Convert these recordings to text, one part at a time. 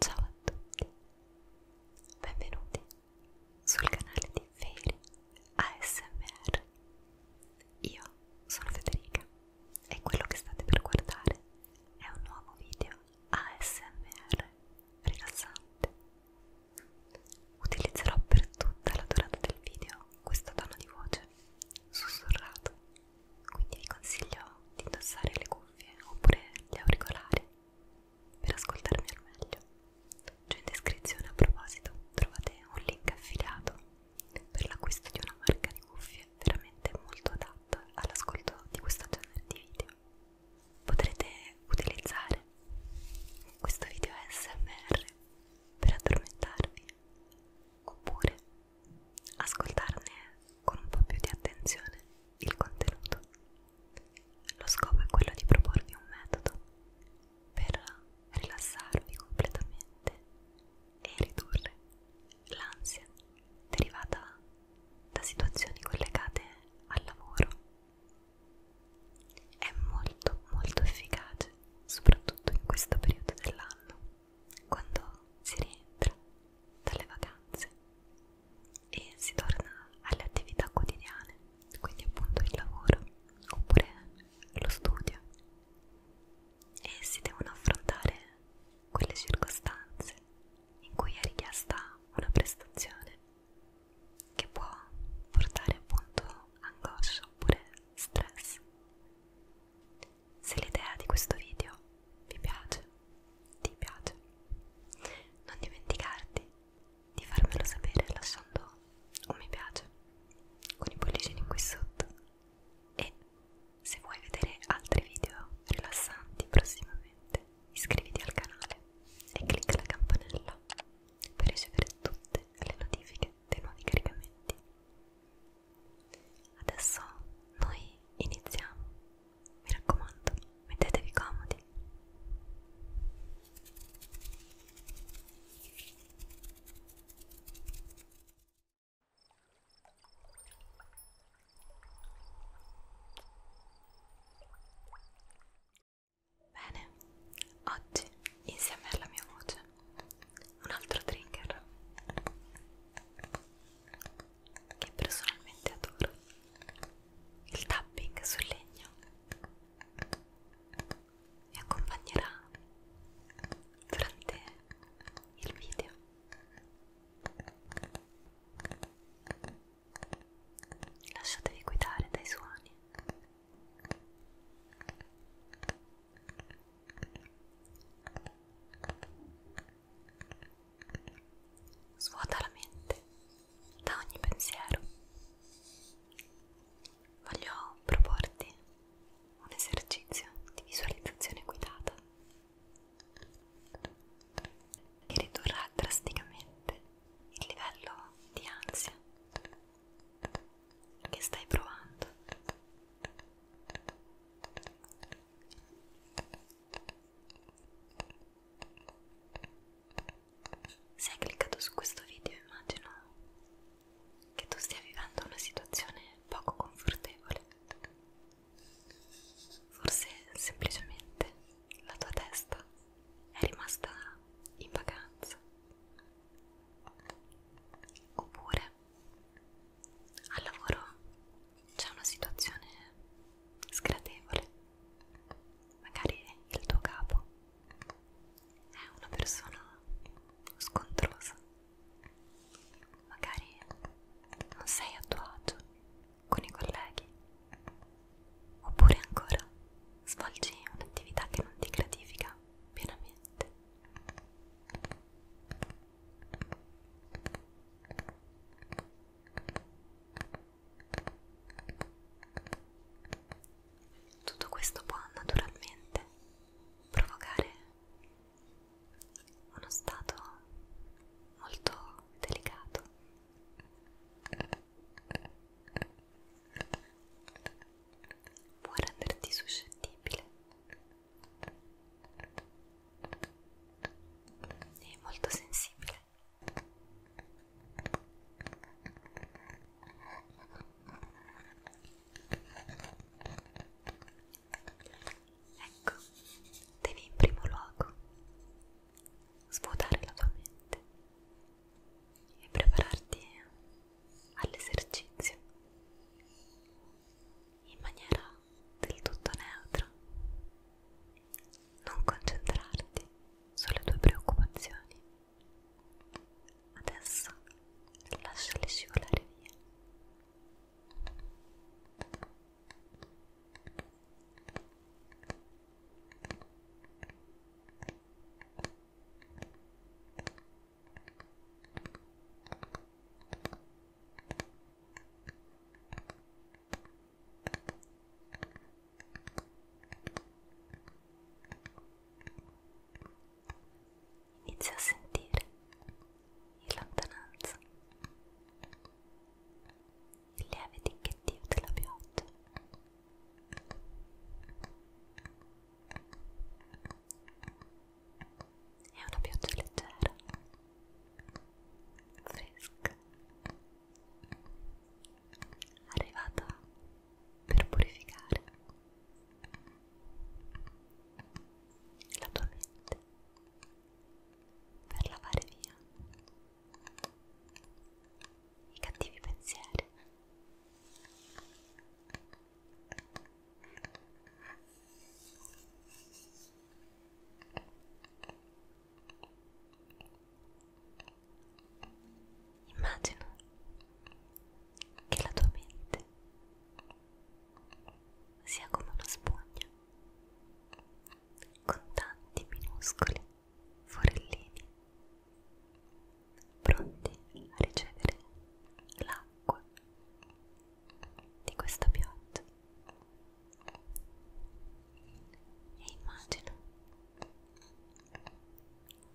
Ciao a tutti, benvenuti sul canale di Feri ASMR. Io sono Federica e quello che state per guardare è un nuovo video ASMR rilassante. Utilizzerò per tutta la durata del video questo tono di voce sussurrato, quindi vi consiglio di indossare le cuffie oppure gli auricolari per ascoltarmi al meglio. Giù in descrizione a proposito trovate un link affiliato per l'acquisto di una marca di cuffie veramente molto adatta all'ascolto di questo genere di video. Potrete utilizzare questo video ASMR per addormentarvi oppure ascoltarne con un po' più di attenzione il contenuto. Lo scopo è quello di proporvi un metodo per rilassarvi completamente e ridurre l'ansia derivata da situazioni collegate al lavoro è molto molto efficace, soprattutto in questo periodo dell'anno, quando si rientra dalle vacanze e si torna alle attività quotidiane, quindi appunto il lavoro oppure lo studio e si devono affrontare quelle circostanze in cui è richiesta una prestazione che può portare appunto angoscia oppure stress. Se l'idea di questo video vi piace, ti piace, non dimenticarti di farmelo sapere lasciando un mi piace con i pollicini qui sotto e se vuoi vedere altri video rilassanti prossimamente iscriviti al canale e clicca la campanella per ricevere tutte le notifiche dei nuovi caricamenti. Adesso noi iniziamo. Mi raccomando, mettetevi comodi. Bene, oggi insieme alla mia voce un altro trigger che personalmente adoro, il tapping sul legno mi accompagnerà durante il video. Lasciatevi guidare dai suoni Svuota la mente da ogni pensiero. Voglio proporti un esercizio di visualizzazione guidata che ridurrà drasticamente il livello di ansia che stai provando se hai cliccato su questo video immagino che tu stia vivendo una situazione poco confortevole forse semplicemente la tua testa è rimasta in vacanza oppure al lavoro c'è una situazione sgradevole magari il tuo capo è una persona scontrosa magari non sei a tuo agio con i colleghi oppure ancora svolgi un'attività che non ti gratifica pienamente. Tutto questo può naturalmente provocare uno stato molto delicato può renderti suscettibile e molto sensibile. Ecco, devi in primo luogo svuotare la tua mente e prepararti all'esercizio in maniera del tutto neutra. Non concentrarti sulle tue preoccupazioni. Adesso lasciali scivolare via. Inizio a sentire in lontananza il lieve ticchettio della pioggia è una pioggia leggera, fresca, arrivata per purificare la tua mente, per lavare via i cattivi pensieri Immagina che la tua mente sia come una spugna con tanti minuscoli forellini pronti a ricevere l'acqua di questa pioggia e immagino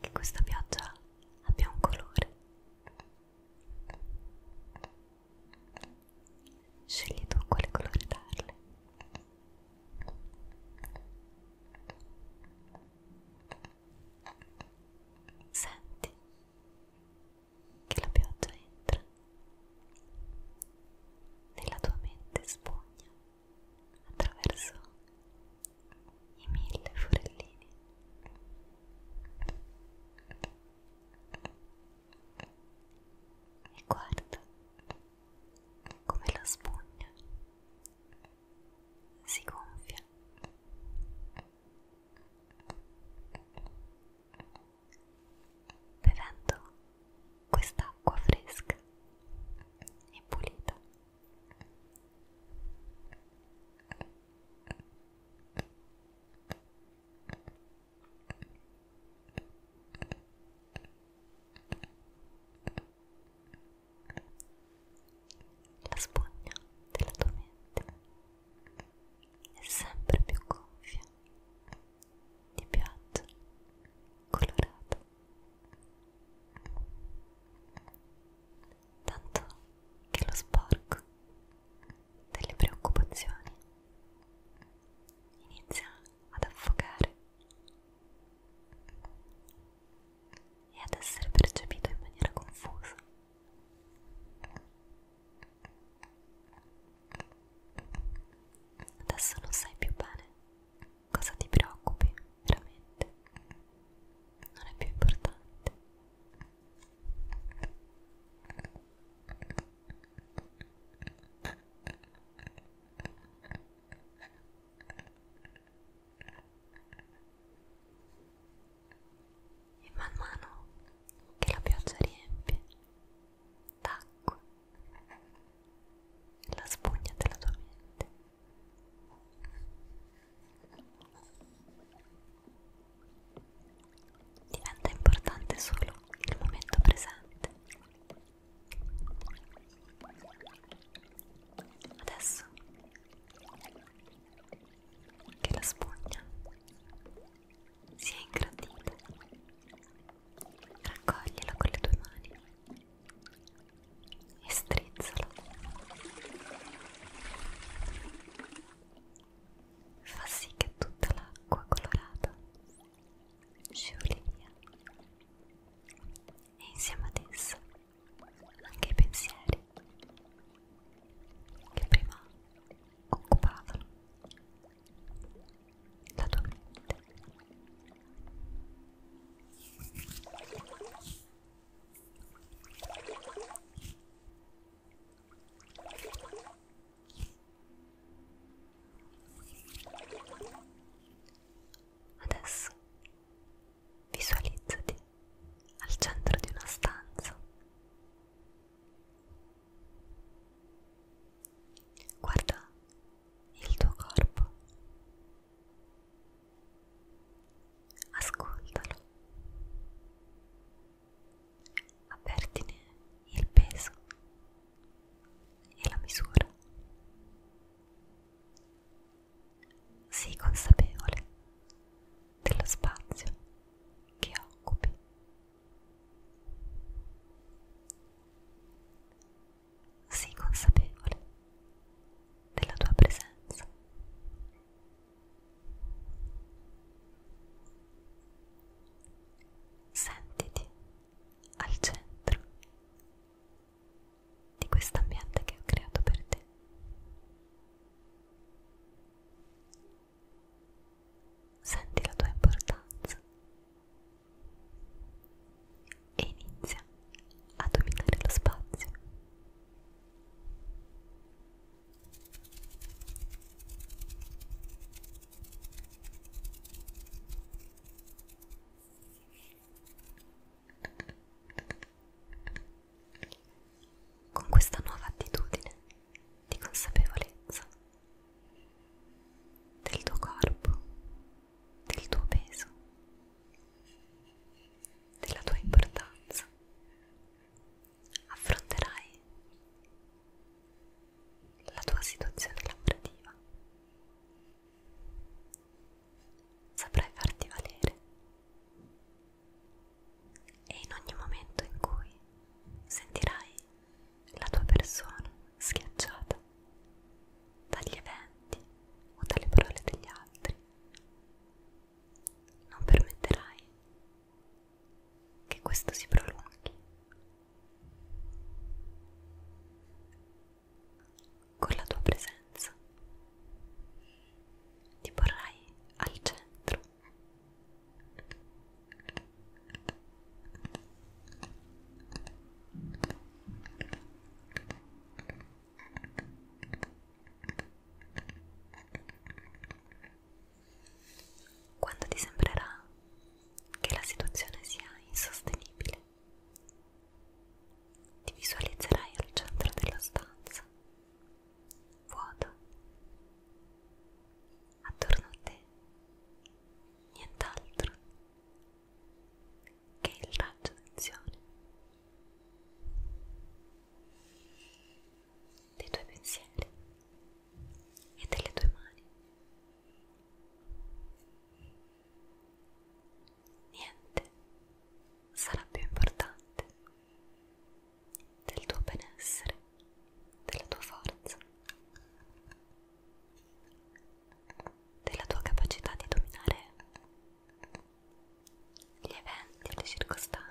che questa pioggia abbia un colore scegli tu quale colore darle Senti che la pioggia entra nella tua mente spugna attraverso i mille forellini. E guarda come la spugna si gonfia bevendo quest'acqua fresca e pulita la spugna della tua mente è sempre più gonfia, di pioggia, colorata. Tanto che lo sporco delle preoccupazioni inizia ad affogare e ad essere percepito in maniera confusa. Adesso non sai più bene cosa ti preoccupi veramente, non è più importante. E man mano che la pioggia riempie d'acqua la spugna della tua mente. Diventa importante solo il momento presente. Adesso che la spugna sia ingrandita. Raccoglila con le tue mani e strizzala. Fa sì che tutta l'acqua colorata scivoli via e insieme ad essa anche i pensieri che prima occupavano la tua mente. Adesso Visualizzati al centro di una stanza. Guarda il tuo corpo. Ascoltalo. Avvertine il peso e la misura sii consapevole dello spazio che occupi. Sii consapevole della tua presenza. Sentiti al centro di questo ambiente che ho creato per te. Senti la tua importanza e inizia a dominare lo spazio. Con questa nuova attitudine di consapevolezza del tuo corpo, del tuo peso, della tua importanza, affronterai la tua situazione lavorativa saprai farti valere e in ogni momento in cui sentirai la tua persona schiacciata dagli eventi o dalle parole degli altri, non permetterai che questo si prolunghi con la tua presenza. Ti porrai al centro. Quando ti sembrerà che la situazione sia insostenibile, ti visualizzerai al centro della stanza, vuoto. Attorno a te nient'altro che il raggio d'azione dei tuoi pensieri e delle tue mani niente sarà più importante del tuo benessere, della tua forza, della tua capacità di dominare gli eventi, le circostanze.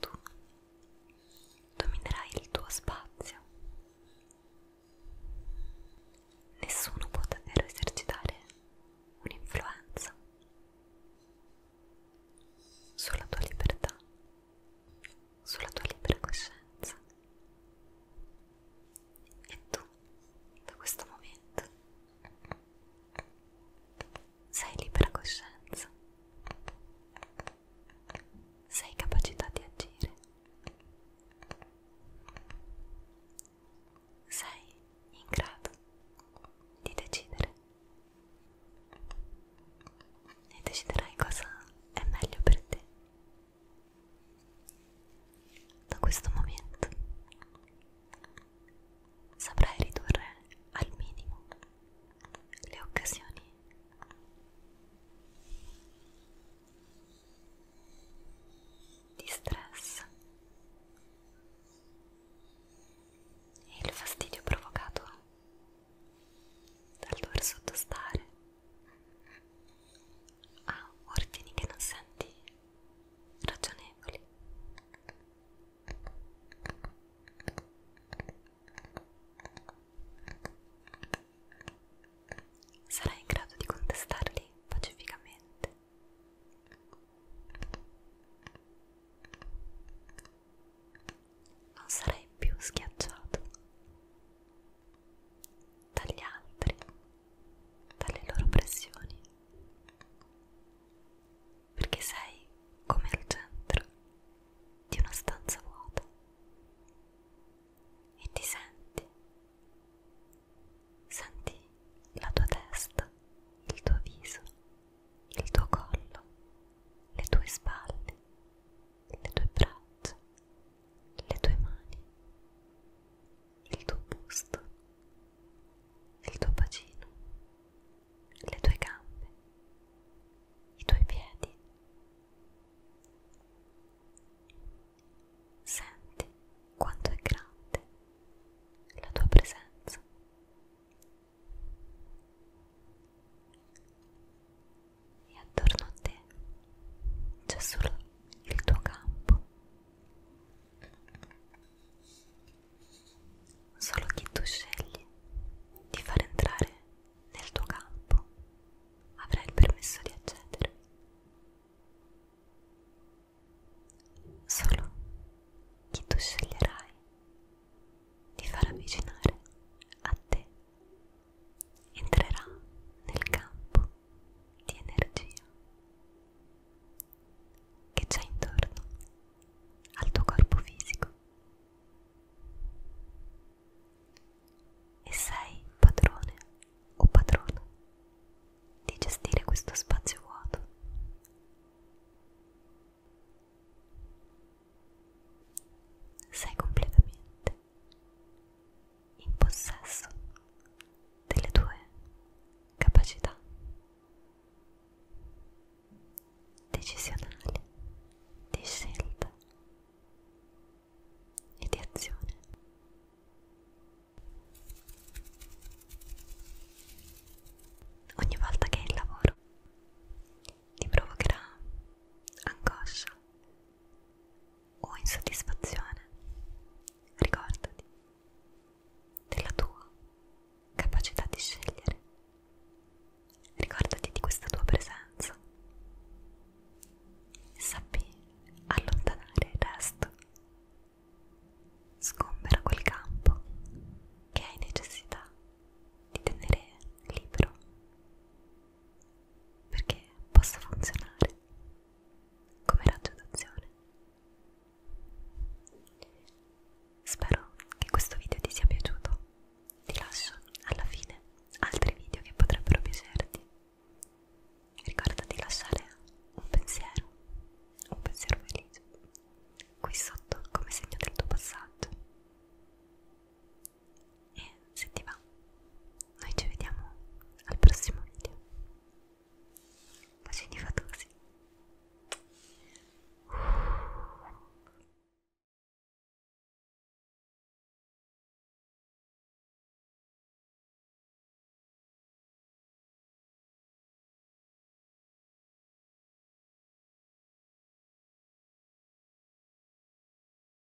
Tu dominerai il tuo spazio. Nessuno può davvero esercitare un'influenza. Solo la tua libertà sulla tua libera coscienza e tu da questo momento sei libera coscienza sei capacità di agire sei in grado di decidere e deciderai cosa è meglio per te da questo momento saprai ridurre al minimo le occasioni di stress e il fastidio provocato dal dover sottostare a ah, ordini che non senti ragionevoli. Sarai in grado di contestarli pacificamente. Non sarai più schiacciato dagli altri, dalle loro pressioni, perché sei come al centro di una stanza vuota e ti senti, senti la tua testa, il tuo viso, il tuo collo, le tue spalle, le tue braccia, le tue mani, il tuo busto, il tuo bacino, le tue gambe, i tuoi piedi. Senti quanto è grande la tua presenza e attorno a te c'è solo il tuo campo. Solo chi tu scegli di far entrare nel tuo campo avrai il permesso di accedere. Solo chi tu sceglierai di far avvicinare a te entrerà nel campo di energia che c'è intorno al tuo corpo fisico e sei padrone o padrona di gestire questo spazio vuoto. Sei completamente in possesso delle tue capacità decisionali di scelta e di azione. Ogni volta che il lavoro ti provocherà angoscia, o insoddisfazione, ricordati della tua capacità di scegliere, ricordati di questa tua presenza, sappi allontanare il resto, sgombera quel campo che hai necessità di tenere libero perché possa funzionare come raggio d'azione. Spero che questo video ti sia piaciuto. Ti lascio alla fine altri video che potrebbero piacerti. Ricorda di lasciare un pensiero, un pensiero felice, qui sotto come segno del tuo passaggio e se ti va noi ci vediamo al prossimo video bacini fatosi